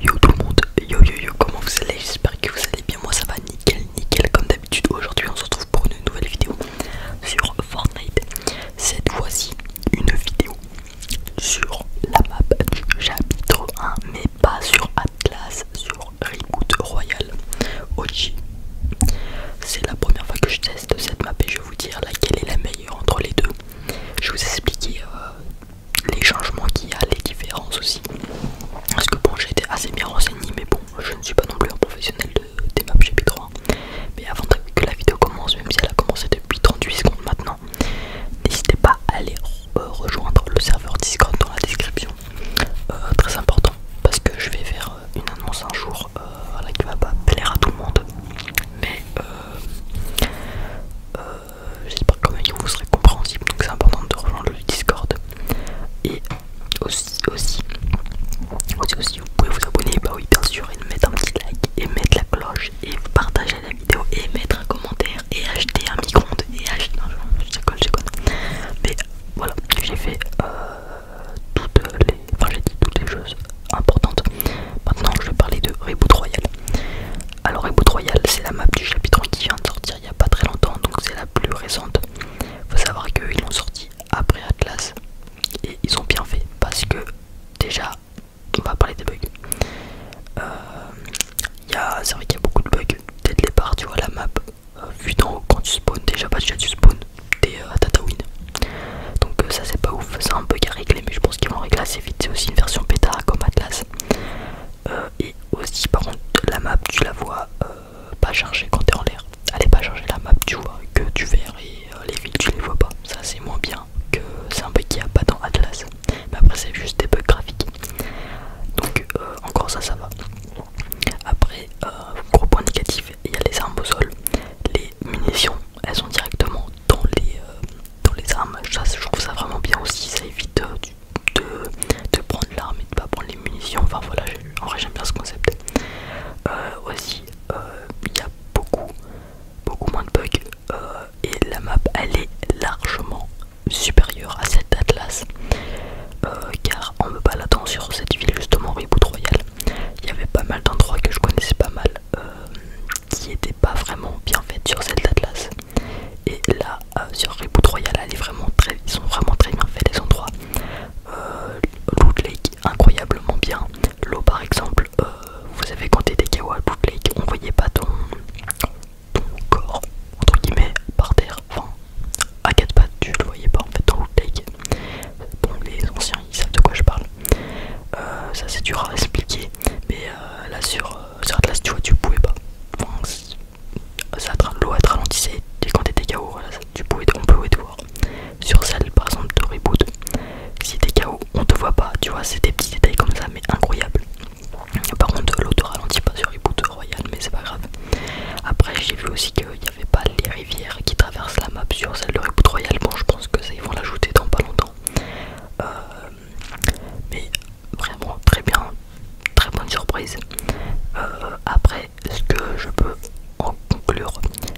Yo tout le monde, yo yo yo, comment vous allez? J'espère que vous allez bien. Moi ça va nickel, nickel comme d'habitude. Aujourd'hui, on se retrouve pour une nouvelle vidéo sur Fortnite. Cette fois-ci, une vidéo sur la map du chapitre 1, mais pas sur Atlas, sur Reboot Royale OG. C'est la première fois que je teste cette map et je vais vous dire laquelle est la meilleure entre les deux. Je vais vous expliquer euh, les changements qu'il y a, les différences aussi. Parce que bon, j'ai été assez bien renseigné, mais bon, je ne suis pas non plus un professionnel de, des maps GP3. Mais avant que la vidéo commence, même si elle a commencé depuis 38 secondes maintenant, n'hésitez pas à aller euh, rejoindre le serveur Discord dans la description. Euh, très important, parce que je vais faire euh, une annonce un jour qui va pas plaire à tout le monde. Mais euh, j'espère quand même que vous serez compréhensible. Donc c'est important de rejoindre le Discord. Et aussi, aussi, aussi, vous pouvez vous abonner, bah oui, bien sûr, et mettre un petit like, et mettre la cloche, et partager la vidéo, et mettre un commentaire, et acheter un micro-ondes, et acheter. Non, je je quoi. Mais voilà, j'ai fait euh, toutes les. Enfin, j'ai dit toutes les choses importantes. Maintenant, je vais parler de Reboot Royal. Alors Eboot Royal, c'est la map du chapitre qui vient de sortir il n'y a pas très longtemps, donc c'est la plus récente. Faut savoir qu'ils l'ont sorti après Atlas et ils ont bien fait parce que déjà, on va parler des bugs. Euh, c'est vrai qu'il y a beaucoup de bugs dès le départ, tu vois la map euh, vu dans quand tu spawns, déjà pas déjà tu spawn t'es euh, Donc ça c'est pas ouf, c'est un bug à régler mais je pense qu'ils vont régler assez vite, c'est aussi une version bêta comme Atlas. Euh, et aussi, par contre, la map, tu la vois euh, pas chargée quand t'es en l'air. Elle est pas chargée, la map, tu vois que du vert et euh, les villes, tu les vois pas. Ça, c'est moins bien que c'est un bug qui a pas dans Atlas. Mais après, c'est juste des bugs graphiques. Donc, encore ça, ça va. Après, gros point négatif, il y a les armes au sol. Les munitions, elles sont directement dans les, euh, les armes. je trouve ça vraiment bien aussi, ça évite euh, de, prendre l'arme et de pas prendre les munitions. Enfin voilà, en vrai j'aime bien ce concept. Euh, aussi, il y a beaucoup, beaucoup moins de bugs et la map elle est largement supérieure à cette Atlas. car on me baladant sur cette ville justement Reboot Royal, il y avait pas mal d'endroits que je connaissais pas mal qui n'était pas vraiment bien faite sur celle atlas Et là, euh, sur Reboot royale elle ils sont vraiment très bien faits les endroits. Euh, incroyablement bien. L'eau, par exemple, euh, vous avez compté des KO à Lake, on voyait pas ton, corps, entre guillemets, par terre. Enfin, à quatre pattes, tu le voyais pas en fait dans Loot Lake. Bon, les anciens, ils savent de quoi je parle. Euh, ça, c'est dur à expliquer, mais là, sur sur Atlas, tu vois, tu pouvais pas. Enfin, L'eau a ralentissé et quand t'étais KO, tu pouvais, on pouvait te voir. Sur celle par exemple de reboot, si t'es KO, on te voit pas, tu vois, c'est des petits détails comme ça, mais incroyable. Par contre, l'eau te ralentit pas sur reboot royal, mais c'est pas grave. Après, j'ai vu aussi qu'il n'y avait pas les rivières qui traversent la map sur celle de reboot royal. Bon, je pense que ça, ils vont l'ajouter dans pas longtemps. Euh, mais vraiment très bien, très bonne surprise. Euh, après, ce que je peux en conclure,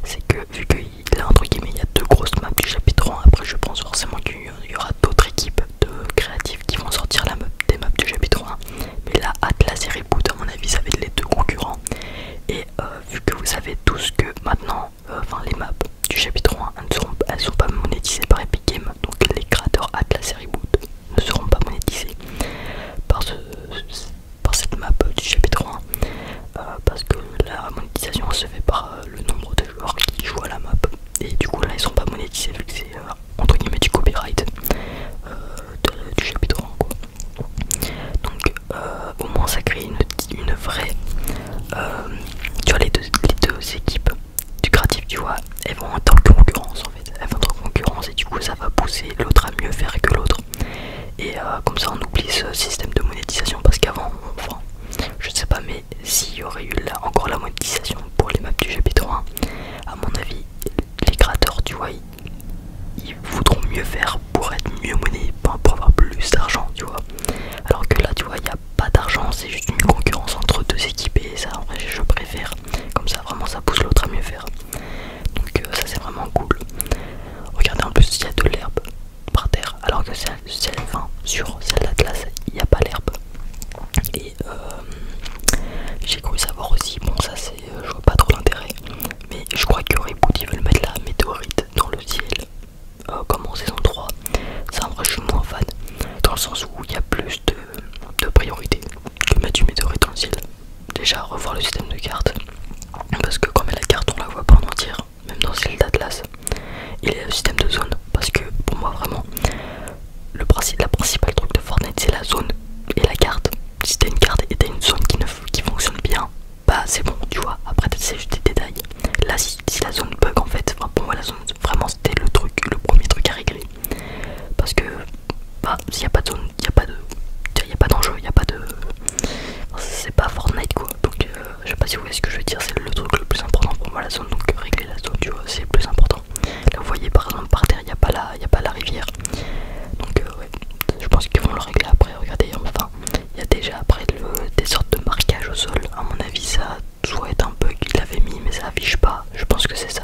c'est que vu qu'il a entre guillemets, il y a deux grosses maps du chapitre 1, après je pense forcément qu'il y aura d'autres équipes de créatifs qui vont sortir la des maps du chapitre 1, mais là Atlas et Reboot à mon avis ça va être les deux concurrents. Et euh, vu que vous savez tous que maintenant euh, enfin les maps du chapitre 1 ne seront, pas monétisées par Epic Games, donc les créateurs à la série Boot ne seront pas monétisés par, ce, par cette map du chapitre 1 euh, parce que la monétisation se fait par euh, le nombre de joueurs qui jouent à la map et du coup là ils sont pas monétisés vu que c'est entre guillemets du copyright du chapitre 1 donc au moins ça crée une une vraie. tu euh, vois, les deux, les équipes du créatif, tu vois, elles vont être en concurrence en fait. Elles vont être en concurrence et du coup, ça va pousser l'autre à mieux faire que l'autre. Et euh, comme ça, on oublie ce système de monétisation parce qu'avant, enfin, je sais pas, mais s'il y aurait eu encore la monétisation pour les maps du chapitre 1, à mon avis, les créateurs, tu vois, ils, voudront mieux faire pour être mieux monnaie, pour avoir plus d'argent, tu vois. Alors que là, tu vois, pas d'argent, c'est juste une concurrence entre deux équipes ça en vrai je préfère. Comme ça vraiment ça pousse l'autre à mieux faire. Donc euh, ça c'est vraiment cool. Regardez en plus il y a de l'herbe par terre alors que celle, celle sur celle d'Atlas il n'y a pas l'herbe. Et euh, j'ai cru savoir aussi, bon ça c'est euh, je vois pas trop l'intérêt, mais je crois que Reboot ils veulent mettre la météorite dans le ciel euh, comme en saison 3. Ça, un vrai, je suis moins fan dans le sens où il y a plus de, de priorités que Mathieu et dans le Déjà, revoir le système de cartes parce que quand on la carte, on la voit pas en entière, même dans celle d'Atlas. Il y a le système de zone parce que pour moi, vraiment, le principal la principale truc de Fortnite c'est la zone et la carte. Si t'as une carte et t'as une zone qui, qui fonctionne bien, bah c'est bon, tu vois. Après, c'est juste des détails. Là, si, la zone bug en fait, pour moi, la zone vraiment c'était le truc, le premier truc à régler. Parce que bah, s'il n'y a pas de zone, il n'y a pas de. d'enjeu, il n'y a pas de. C'est pas Fortnite quoi. Donc euh, je sais pas si vous voyez ce que je veux dire, c'est le truc le plus important pour moi la zone. Donc régler la zone, tu vois, c'est le plus important. Là vous voyez par exemple par terre, il n'y a, pas la, y a pas la rivière. Donc euh, ouais, je pense qu'ils vont le régler après. Regardez, enfin, il y a déjà après des sortes de marquages au sol. À mon avis, ça, soit est un bug qu'il l'avait mis mais ça affiche pas, je pense que c'est ça.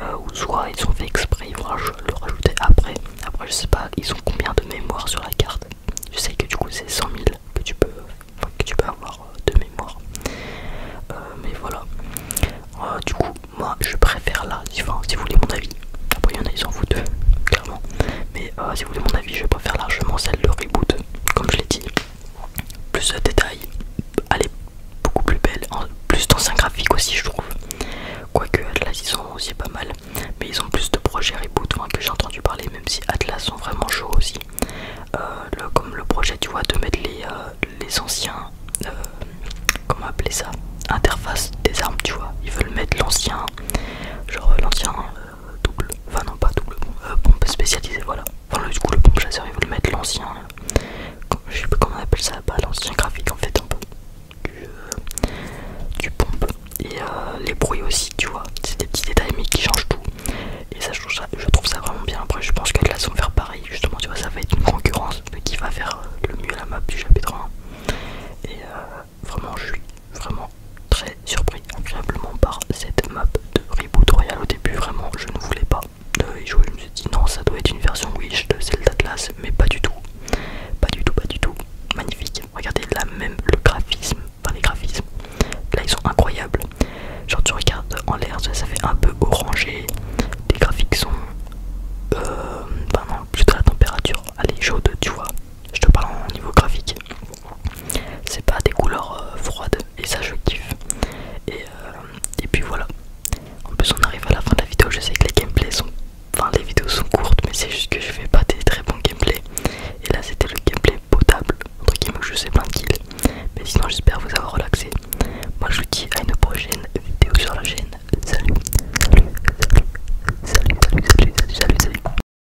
Euh, ou soit ils ont fait exprès, ils vont le rajouter après. Après je sais pas, ils ont combien de mémoire sur la carte. Je sais que du coup c'est 100 000 que tu peux, que tu peux avoir euh, de mémoire. Euh, mais voilà. du coup moi je préfère là, si vous voulez mon avis. Après il y en a ils s'en foutent clairement. Mais si vous voulez mon avis je préfère largement celle de reboot comme je l'ai dit, plus de détails, elle est beaucoup plus belle, plus d'anciens graphiques aussi je trouve. Quoique Atlas ils sont aussi pas mal, mais ils ont plus de projets reboot que j'ai entendu parler, même si Atlas sont vraiment chauds aussi. Euh, comme le projet tu vois de mettre les, euh, les anciens, euh, comment appeler ça, interface des armes tu vois, ils veulent mettre l'ancien, genre l'ancien double, enfin non pas double pompe, euh, pompe spécialisée, voilà. Enfin du coup le pompe chasseur ils le mettre l'ancien, euh, je sais pas comment on appelle ça, pas l'ancien graphique en fait un peu du, euh, pompe. Et euh, les bruits aussi tu vois, c'est des petits détails mais qui changent tout. Et ça je, trouve ça vraiment bien, après je pense que là sont on faire pareil justement tu vois ça va être une concurrence qui va faire le mieux la map du chapitre 1. Et vraiment je suis vraiment très surpris agréablement par cette map de Reboot Royal au début vraiment je ne voulais pas de jouer je me suis dit non ça doit être une version Wish de Zelda Atlas mais pas du tout pas du tout pas du tout magnifique regardez là même le graphisme enfin les graphismes là ils sont incroyables genre tu regardes en l'air ça, fait un peu orangé les graphiques sont euh, ben plutôt la température elle est chaude tu vois je te parle en niveau graphique c'est pas des couleurs froides et ça je kiffe et, puis voilà en plus on arrive à la fin de la vidéo je sais que les gameplays sont enfin les vidéos sont courtes mais c'est juste que je fais pas des très bons gameplays et là c'était le gameplay potable entre guillemets je sais pas de qu'il. mais sinon j'espère vous avoir relaxé moi je vous dis à une prochaine vidéo sur la chaîne salut salut salut salut salut salut, salut, salut.